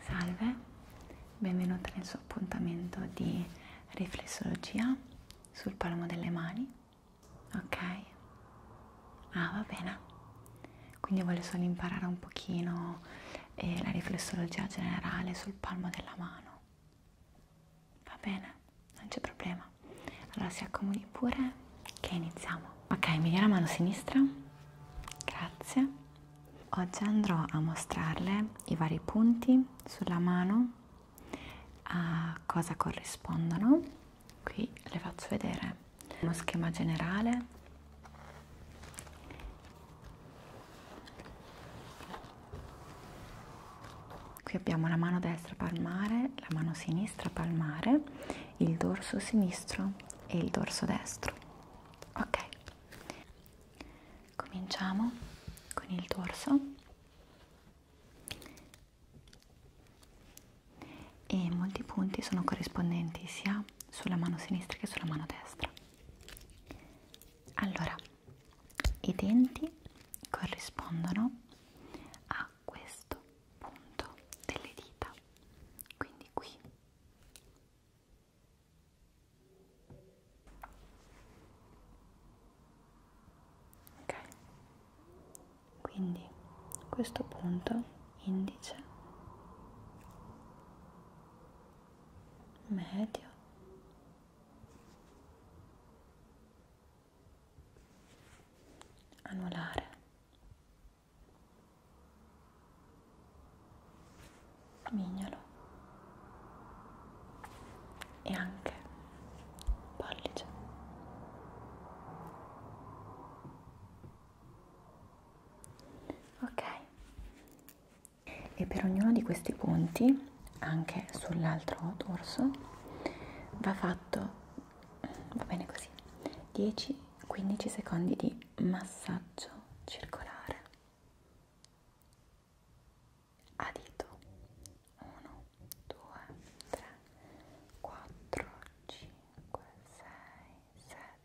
Salve, benvenuta nel suo appuntamento di riflessologia sul palmo delle mani, ok? Ah, va bene. Quindi voglio solo imparare un pochino e la riflessologia generale sul palmo della mano. Va bene, non c'è problema. Allora si accomodi pure che iniziamo. Ok, mi dia la mano sinistra. Grazie. Oggi andrò a mostrarle i vari punti sulla mano, a cosa corrispondono. Qui le faccio vedere uno schema generale qui abbiamo la mano destra palmare la mano sinistra palmare il dorso sinistro e il dorso destro ok cominciamo con il dorso e molti punti sono corrispondenti sia sulla mano sinistra che sulla mano destra allora i denti corrispondono a questo punto delle dita quindi qui ok quindi questo punto indice medio anulare mignolo e anche pollice ok e per ognuno di questi punti anche sull'altro dorso va fatto va bene così 10-15 secondi di massaggio circolare a dito 1 2 3 4 5 6 7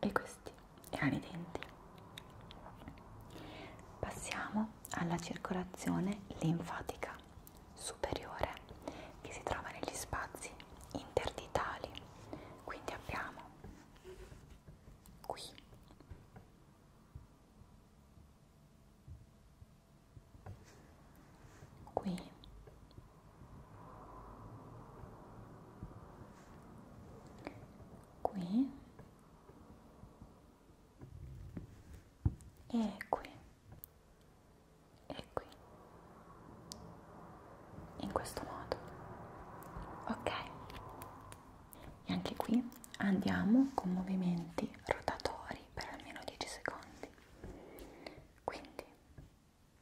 e questi erano i denti passiamo alla circolazione linfatica superiore che si trova negli spazi interditali quindi abbiamo qui qui qui e qui e qui in questo modo ok e anche qui andiamo con movimenti rotatori per almeno 10 secondi quindi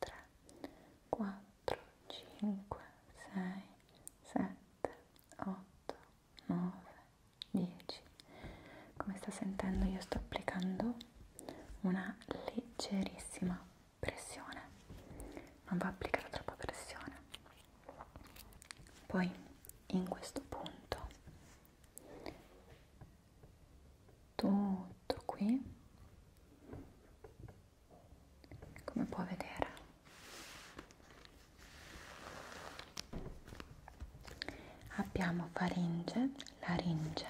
3, 4, 5, 6, 7, 8, 9, 10. Come sta sentendo io sto applicando una leggerissima pressione, non va applicata troppa pressione. Poi in questo punto tutto qui come può vedere abbiamo faringe, laringe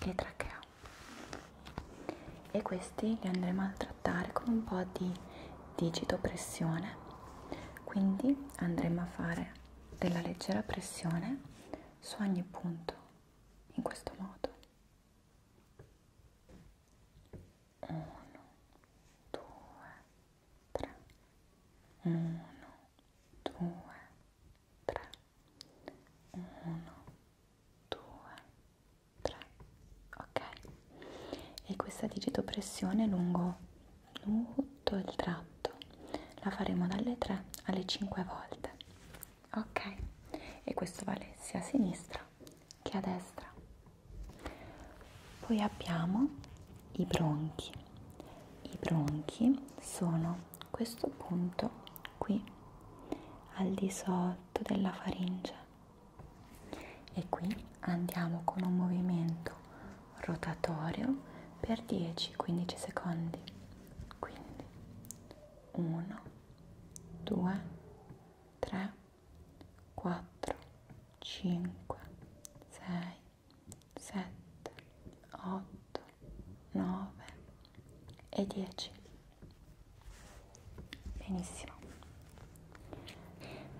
e trachea e questi li andremo a trattare con un po' di digito pressione quindi andremo a fare della leggera pressione su ogni punto in questo modo 1 2 3 1 2 3 1 2 3 ok e questa digitopressione lungo tutto il tratto la faremo dalle 3 alle 5 volte ok e questo vale sia a sinistra che a destra poi abbiamo i bronchi i bronchi sono questo punto qui al di sotto della faringe e qui andiamo con un movimento rotatorio per 10-15 secondi quindi 1 2 3 4 5 6 7 8 9 e 10 benissimo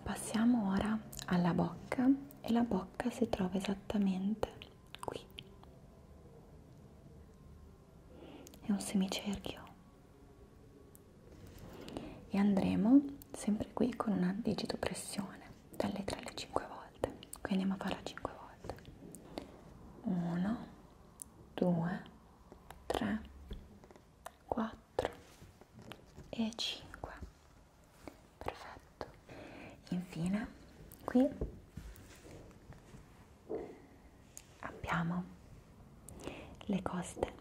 passiamo ora alla bocca e la bocca si trova esattamente qui è un semicerchio e andremo sempre qui con una digito pressione dalle 3 alle 5 volte quindi andiamo a farla 5 volte 1 2 3 4 e 5 perfetto infine qui abbiamo le coste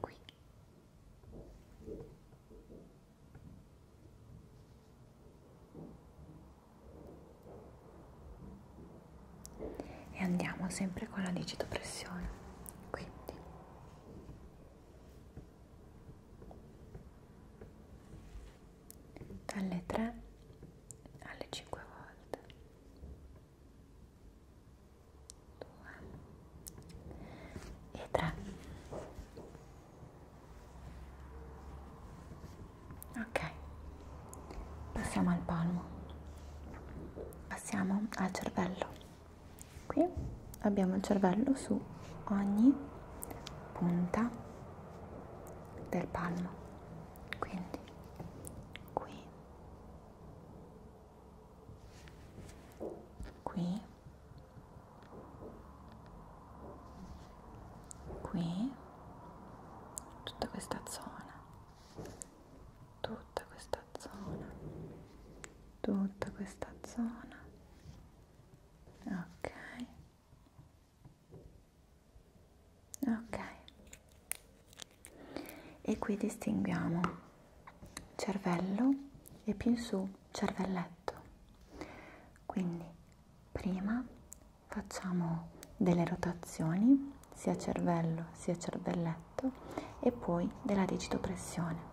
qui e andiamo sempre con la digitopressione quindi dalle 3 alle 5 volte 2 e 3 ok passiamo al palmo passiamo al cervello qui abbiamo il cervello su ogni punta del palmo quindi qui qui qui tutta questa zona tutta questa zona tutta questa zona ok ok e qui distinguiamo cervello e più in su cervelletto quindi prima facciamo delle rotazioni sia cervello sia cervelletto e poi della digitopressione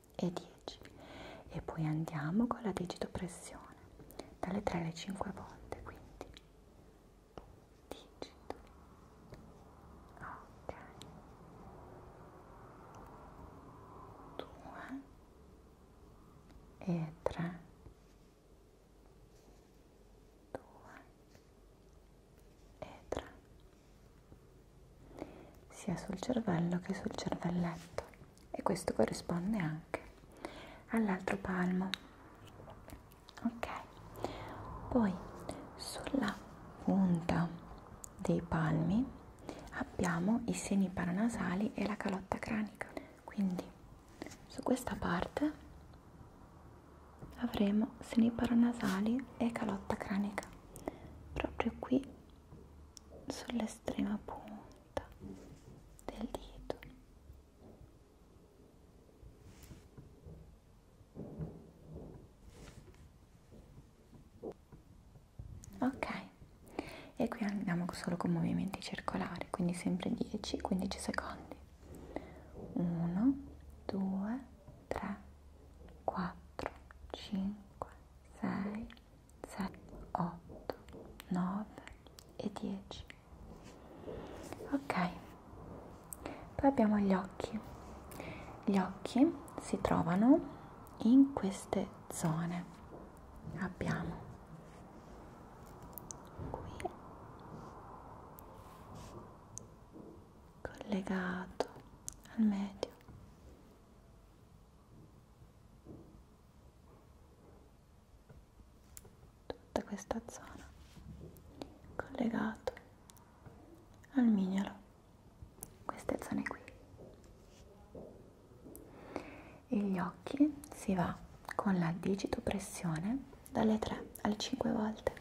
e 10 e poi andiamo con la digito pressione dalle 3 alle 5 volte quindi digito ok 2 e 3 2 e 3 sia sul cervello che sul cervelletto e questo corrisponde anche all'altro palmo ok poi sulla punta dei palmi abbiamo i seni paranasali e la calotta cranica quindi su questa parte avremo seni paranasali e calotta cranica proprio qui sull'estrema punta del dito ok e qui andiamo solo con movimenti circolari quindi sempre 10-15 secondi 1 2 3 4 5 6 7, 8, 9 e 10. Ok, poi abbiamo gli occhi. Gli occhi si trovano in queste zone. Abbiamo qui collegato al medio tutta questa zona collegato al mignolo queste zone qui e gli occhi si va con la digitopressione dalle 3 alle 5 volte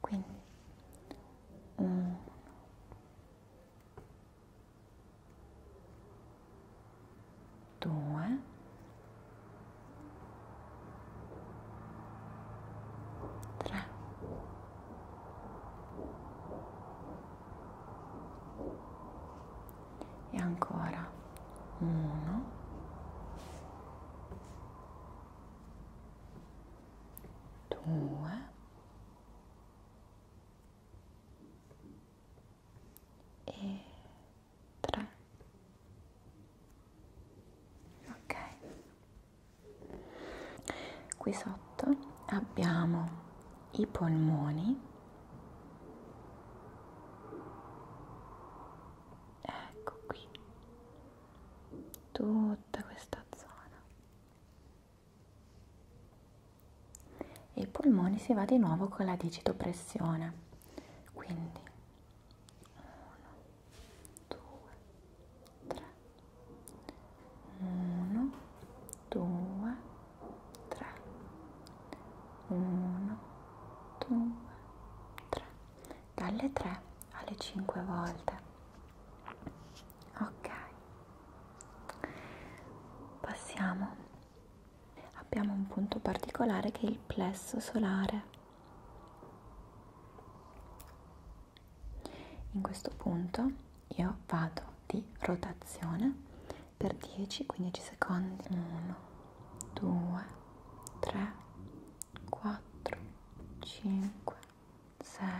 quindi 1 due, tre, e ancora uno, due, e tre ok qui sotto abbiamo i polmoni ecco qui tutta questa zona e i polmoni si va di nuovo con la digitopressione quindi 1 2 3 1 2 3 1 2 3 dalle 3 alle 5 volte ok passiamo abbiamo un punto particolare che è il plesso solare in questo punto io vado di rotazione per 10-15 secondi 1 2 3 4 5 6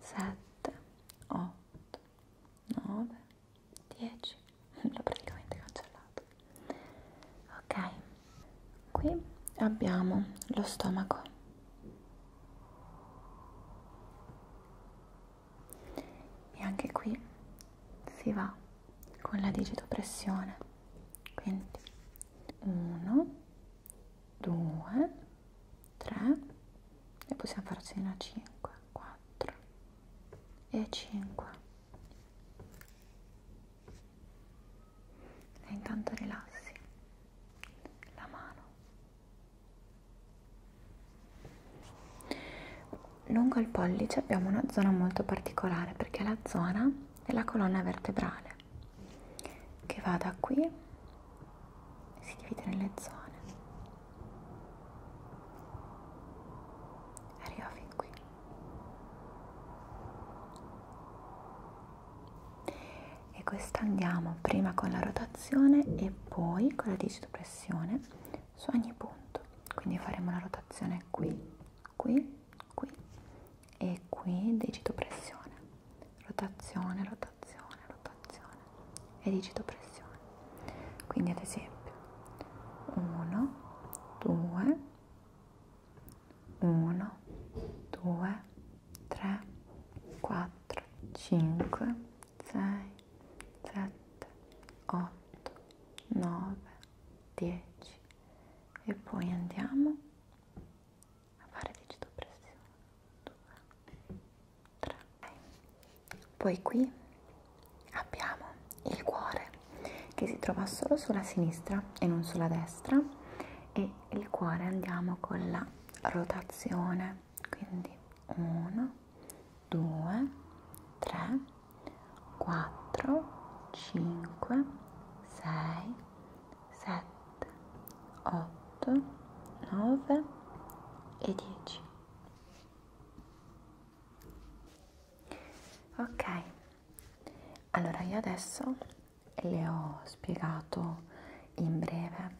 7 8 8, 9, 10, l'ho praticamente cancellato. Ok, qui abbiamo lo stomaco. E anche qui si va con la digitopressione. Quindi 1 2 3 e possiamo farcene una 5 4 e 5 e intanto rilassi la mano lungo il pollice abbiamo una zona molto particolare perché è la zona della colonna vertebrale che va da qui si divide nelle zone arriva fin qui e questa andiamo prima con la rotazione e poi con la digitopressione su ogni punto quindi faremo la rotazione qui qui qui e qui digitopressione rotazione, rotazione, rotazione e digito pressione. Quindi ad esempio 1, 2, 1, 2, 3, 4, 5, 6, 7, 8, 9, 10 e poi andiamo a fare digitopressione 2 3 poi qui abbiamo il cuore che si trova solo sulla sinistra e non sulla destra e il cuore andiamo con la rotazione quindi 1 2 3 4 5 6 7 8, 9 e 10. Ok, allora io adesso le ho spiegato in breve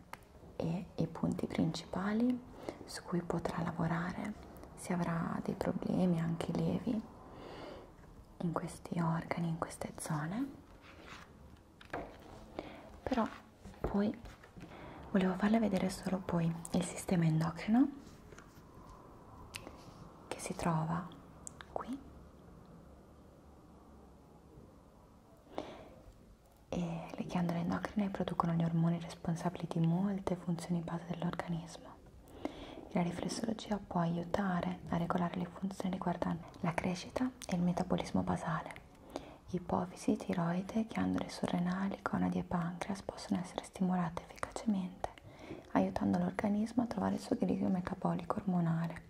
e i punti principali su cui potrà lavorare se avrà dei problemi anche lievi in questi organi, in queste zone però poi volevo farle vedere solo poi il sistema endocrino che si trova qui e le ghiandole endocrine producono gli ormoni responsabili di molte funzioni base dell'organismo la riflessologia può aiutare a regolare le funzioni riguardanti la crescita e il metabolismo basale Ipofisi, tiroide, ghiandole surrenali, conadi e pancreas possono essere stimolate efficacemente aiutando l'organismo a trovare il suo equilibrio metabolico ormonale,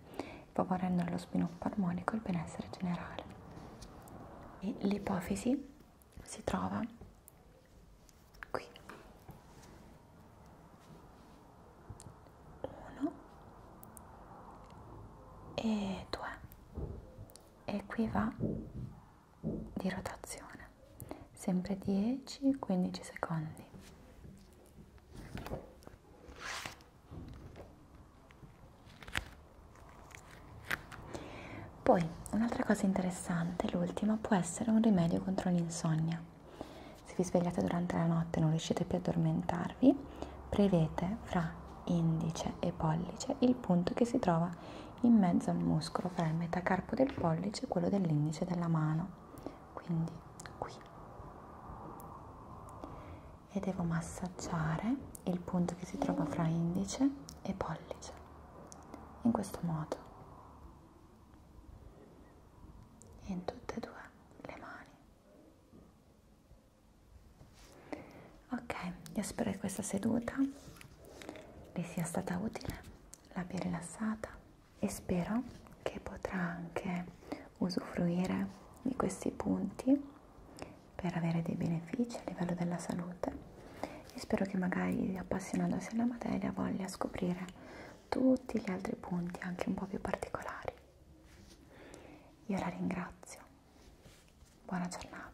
favorendo lo sviluppo armonico e il benessere generale. E l'ipofisi si trova qui. 1 e 2 e qui va di rotazione sempre 10-15 secondi poi un'altra cosa interessante l'ultima può essere un rimedio contro l'insonnia se vi svegliate durante la notte e non riuscite più a addormentare avvicinarvi, prevete fra indice e pollice il punto che si trova in mezzo al muscolo fra il metacarpo del pollice e quello dell'indice della mano, quindi qui. E devo massaggiare il punto che si trova fra indice e pollice, in questo modo. In tutte e due le mani. Ok, io spero che questa seduta vi sia stata utile, l'abbia rilassata e spero che potrà anche usufruire di questi punti per avere dei benefici a livello della salute e spero che magari appassionandosi alla materia voglia scoprire tutti gli altri punti anche un po' più particolari. Io la ringrazio Buona giornata.